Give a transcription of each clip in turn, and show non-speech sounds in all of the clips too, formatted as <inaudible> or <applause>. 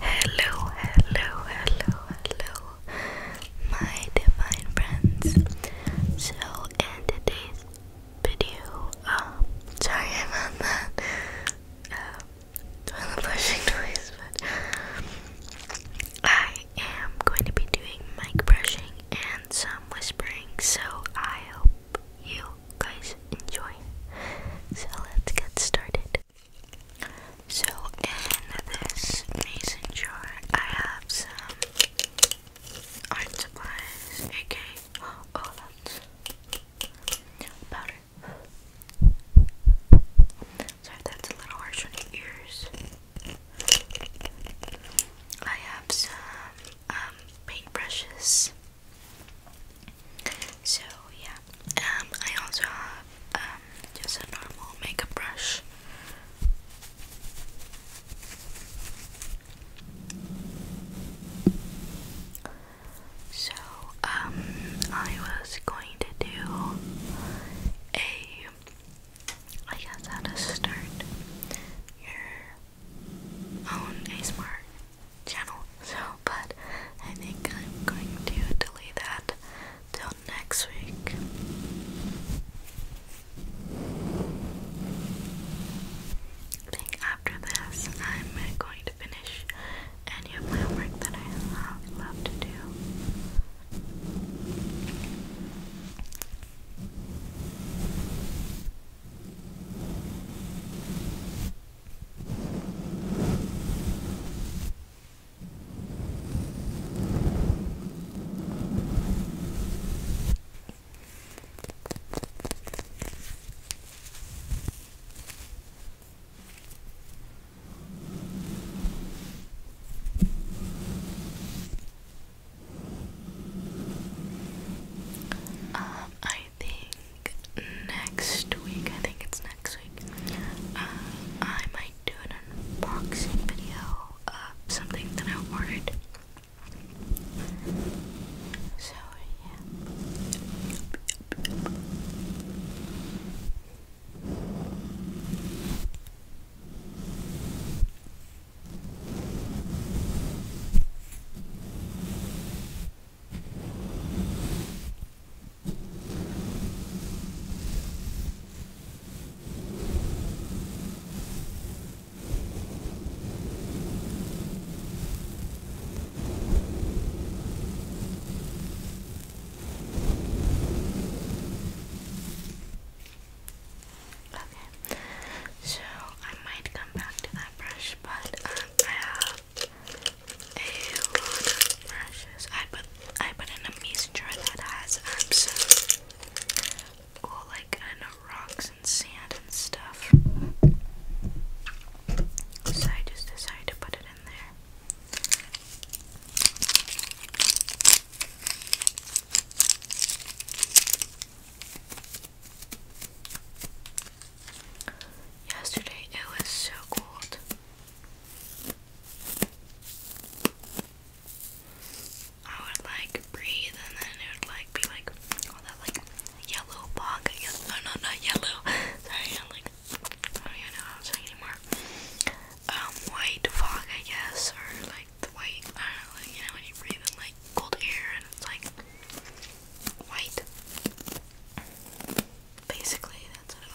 hello, hello, hello, hello, my divine friends. So, in today's video, um, sorry about that, um, uh, toilet flushing <laughs> noise, but I am going to be doing mic brushing and some whispering, so I hope you guys enjoy. So let's get started. So in this mason jar I have some art supplies, aka oh that's powder. Sorry, that's a little harsh on your ears. I have some um paintbrushes. So yeah, um, I also have um, just a normal makeup brush. So um, I was going to do a. I guess how to start your own oh, ASMR channel. but I think I'm going to delete that till next week. I think after this, I'm going to finish any of my homework that I have left to do. Um, I think next week, I think it's next week, uh, I might do an unboxing video of something that I ordered. So, yeah. Okay, so I might come back to that brush brush, but um, I have a lot of I put I put in a messenger that has um, like rocks and sand and stuff. So I just decided to put it in there. Yesterday it was so cold. I would like breathe and then it would like be like all that like yellow bog. No, no, not yellow. <laughs> Sorry, like I don't even know what I'm anymore. Um, white fog, I guess, or like the white. I don't know, you know when you breathe in like cold air and it's like white. Basically, that's what it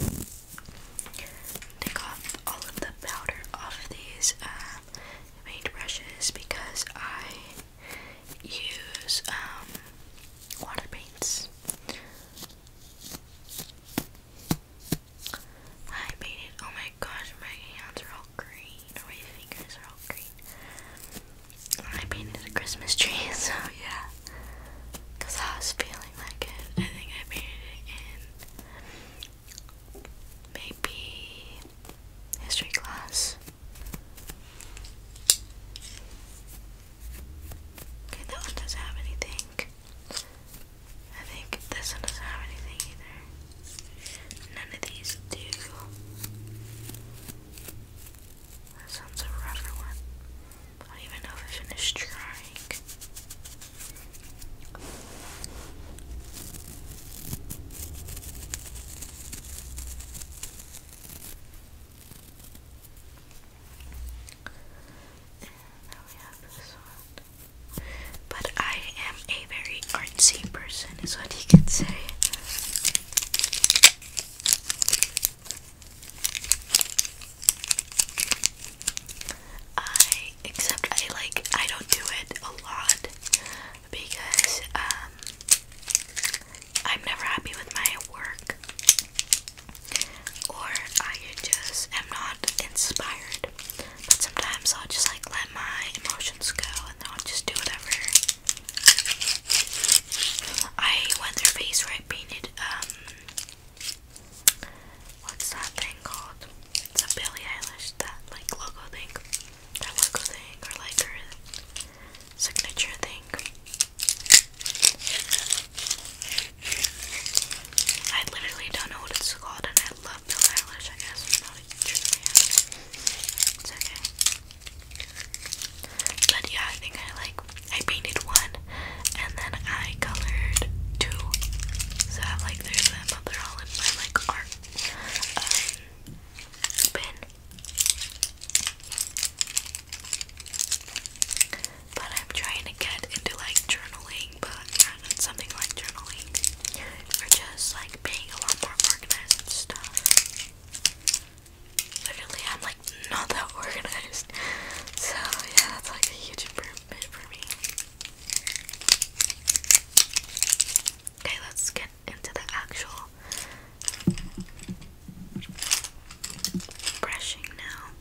was. Take off all of the powder off of these um, paintbrushes because I use um, water paints. I made Oh my gosh, my hands are all green. my fingers are all green. I painted a Christmas tree, <laughs> so yeah. Because I was feeling like it. I think I painted it in maybe history class. Okay, that one doesn't have anything. I think this one doesn't have anything either. None of these do. This one's a rougher one. I don't even know if I finished trying. Oh, but I am a very artsy person, is what you can say. I, except I like, I don't do it a lot because, um, I'm never happy with my work, or I just am not inspired but sometimes I'll just like let my emotions go and I'll just do whatever. I went through a I painted, um, what's that thing called? It's a Billie Eilish, that like logo thing. That logo thing, or like her signature thing. I literally don't know what it's called, and I love the eyelash, I guess. I don't know what But yeah, I think I like, I painted one, and then I colored two. So I like, there's them, but they're all in my like art um, bin. But I'm trying to get into like journaling but something like journaling or just like being a lot more organized and I'm like not that <laughs> organized, so yeah, that's like a huge improvement for me. Okay, let's get into the actual brushing now.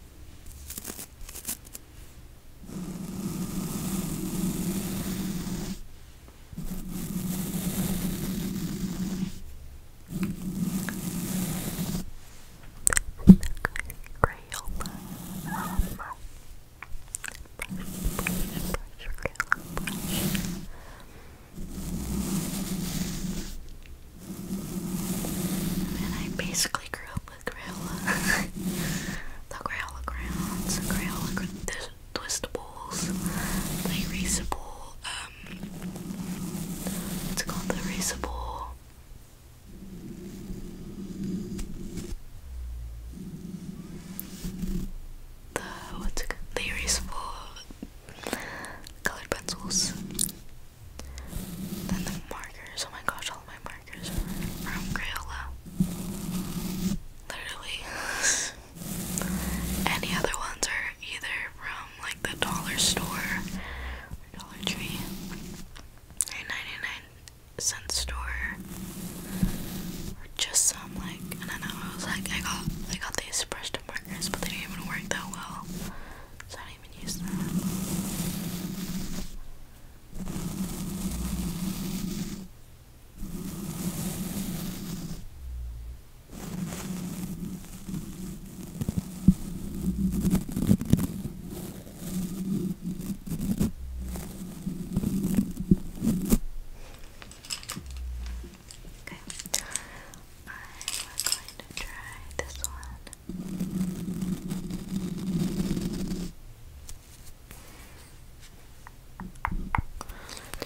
Crayola um, brush, brush, brush, Crayola brush and I basically grew up <laughs> the Crayola, the Crayola crayons, the Crayola cra the twistables, the erasable, um, what's it called, the erasable, the, what's it called, the erasable colored pencils, then the markers, oh my gosh, all my markers from Crayola. Literally, <laughs> any other ones are either from like the dollar store, Dollar Tree, or 99 cent store, or just some like I know. I was like, I got I got these brushed markers, but they didn't even work that well, so I didn't even use them. Okay, I'm going to try this one. Let's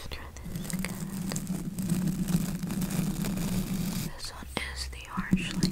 try this again. This one is the harsh, like um,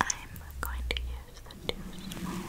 I'm going to use the two small ones.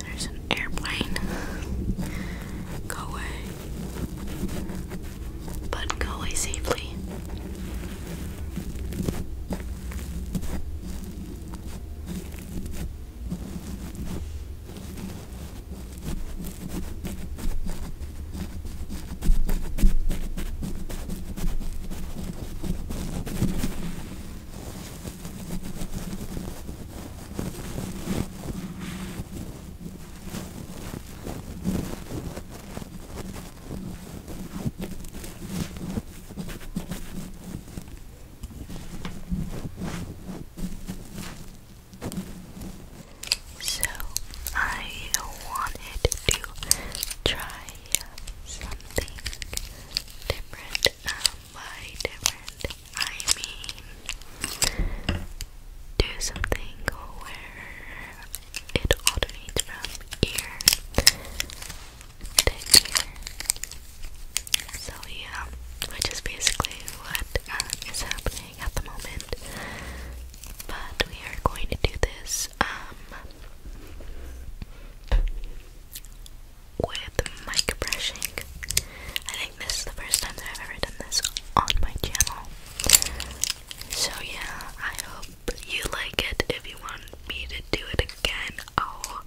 There's an airplane. go away. But go away safely. So I wanted to try something different. Um, different, I mean do something where it alternates from ear to ear. So yeah, which is basically what uh, happening at the moment. But we are going to do this um, with mic brushing. I think this is the first time that I've ever done this on my channel. So yeah, I hope you like it. If you want me to do it again, I'll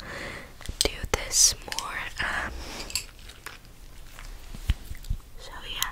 do this more. Um, so yeah.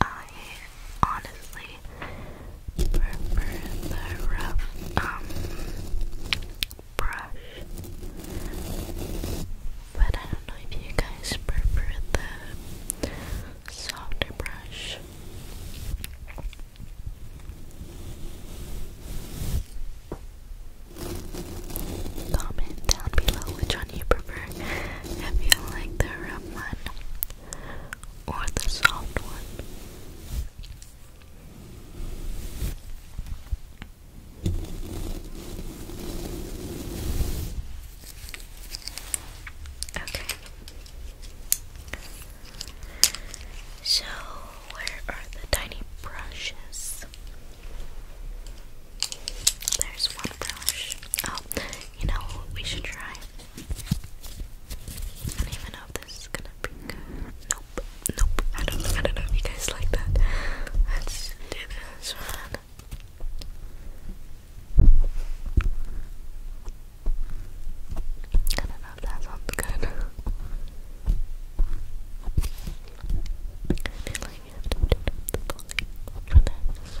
I honestly prefer the rough um, brush. But I don't know if you guys prefer the softer brush. Comment down below which one you prefer. If you like the rough one or the soft one. Okay. So, where are the tiny brushes? There's one brush. Oh, you know we should try? I don't even know if this is gonna be Nope nope. I don't. I don't know if you guys like that. Let's do this one. I don't know if that sounds good. I feel like you turn up the volume for this.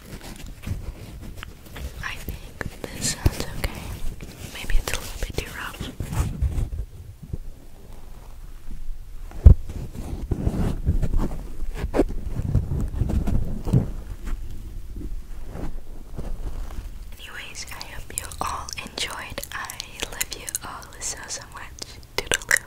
I think this sounds okay. Maybe it's a little bit too rough. Anyways, I hope you all enjoyed. I love you all so so much. Toodaloo.